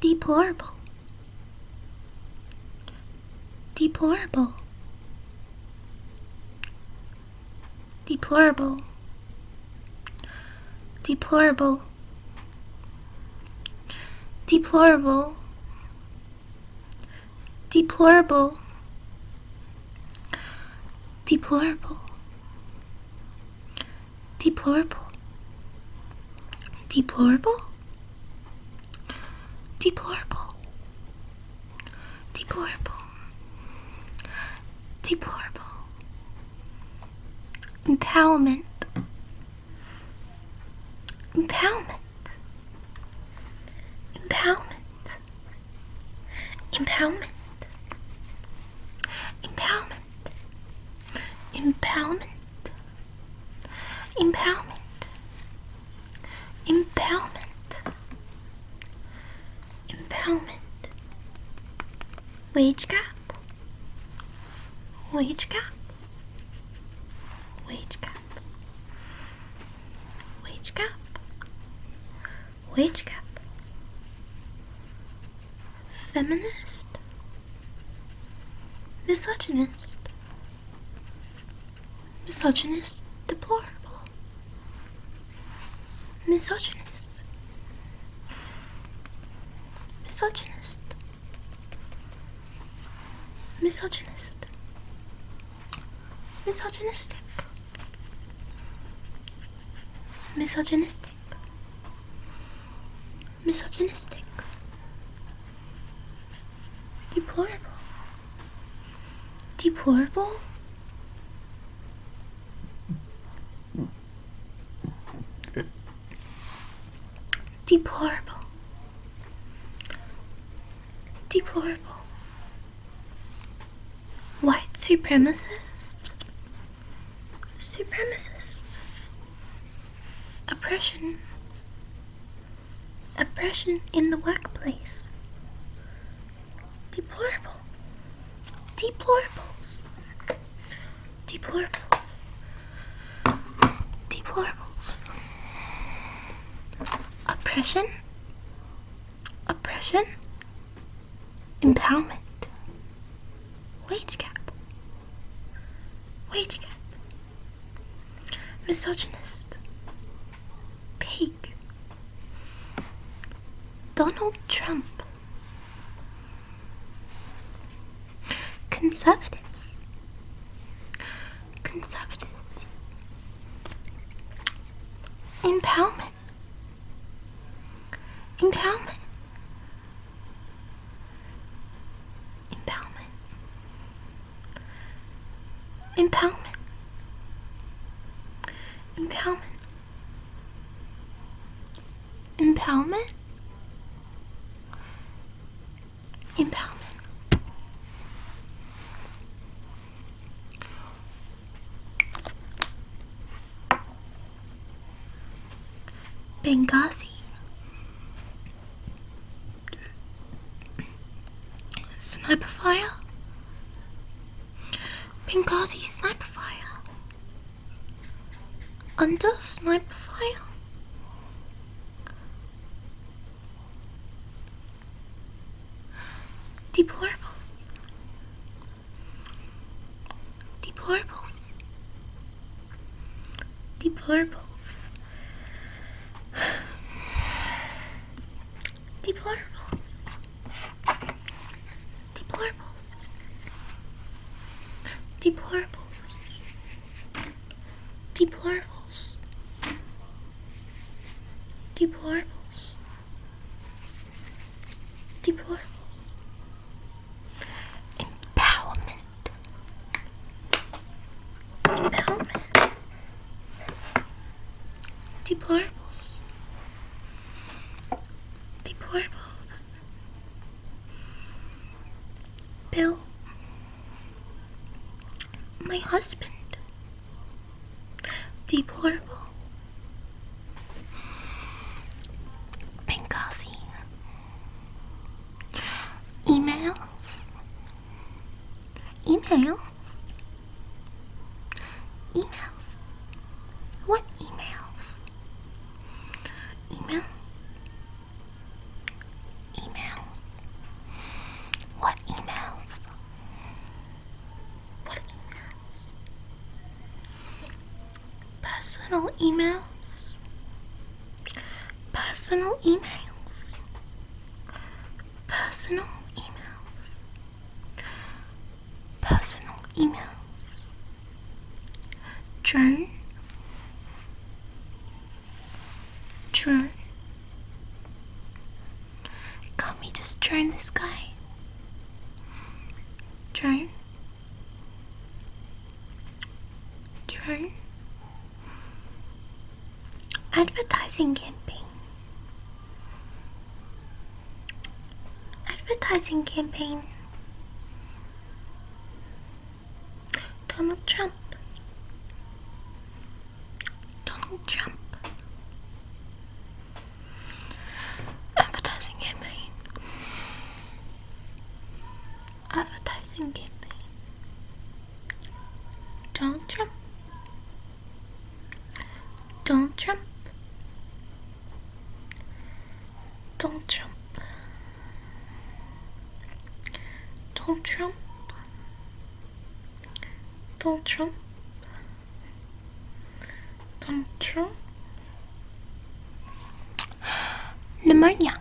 Deplorable. Deplorable. Deplorable. Deplorable. Deplorable. Deplorable. Deplorable. Deplorable. Deplorable. Deplorable. Deplorable. Deplorable. Empowerment. Empowerment. Empowerment. Empowerment. Empowerment. Empowerment. Empowerment. Empowerment. Empowerment. Wage cap. Wage cap. Wage cap. Wage cap. Wage gap. Feminist. Misogynist. Misogynist deplorable. Misogynist. Misogynist. Misogynist. Misogynistic. Misogynistic. Misogynistic. Deplorable. Deplorable? Deplorable. Deplorable. White supremacist? Supremacist? Oppression? Oppression in the workplace? Deplorable? Deplorables? Deplorables? Deplorables? Oppression? oppression, empowerment, wage gap, wage gap, misogynist, pig, Donald Trump, conservatives, conservatives, empowerment. Endowment. Endowment. Empowerment. Empowerment. Empowerment. Empowerment. Benghazi. Sniper fire? Benghazi sniper fire. Under sniper fire? Deplorables. Deplorables. Deplorables. Deplorables. Deplorables. Deplorables. Deplorables. Deplorables. Deplorable. Empowerment. Empowerment. Deplorables. Deplorables. Bill. My husband. Deplorable. Benghazi. Emails. Emails. Emails. What emails? Emails. Emails. What emails? Personal emails? Personal emails? Personal emails? Personal emails? Joe? Joe? Can't we just join this guy? Try. Try. Advertising campaign. Advertising campaign. Donald Trump. Donald Trump. Advertising campaign. Advertising campaign. Donald Trump. Donald Trump. Donald Trump. Donald Trump. Donald Trump control pneumonia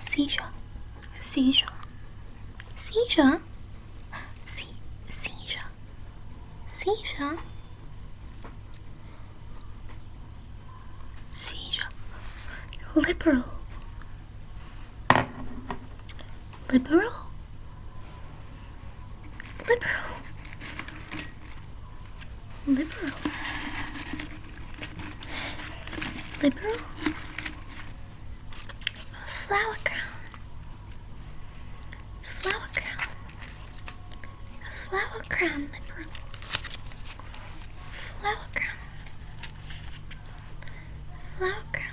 seizure seizure seizure Se seizure seizure seizure liberal liberal Liberal. Liberal. Liberal. Flower crown. Flower crown. flower crown liberal. Flower crown. Flower crown.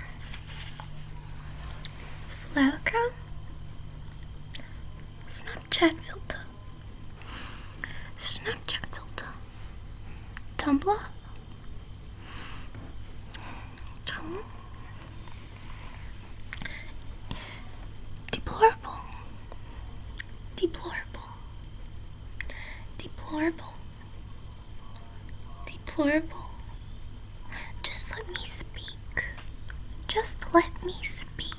Flower crown. Snapchat filter. Snapchat filter. Tumblr. Tumblr. Deplorable. Deplorable. Deplorable. Deplorable. Just let me speak. Just let me speak.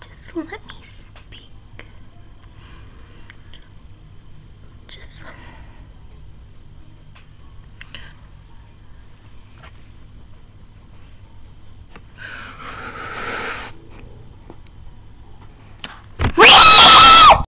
Just let me speak. Just.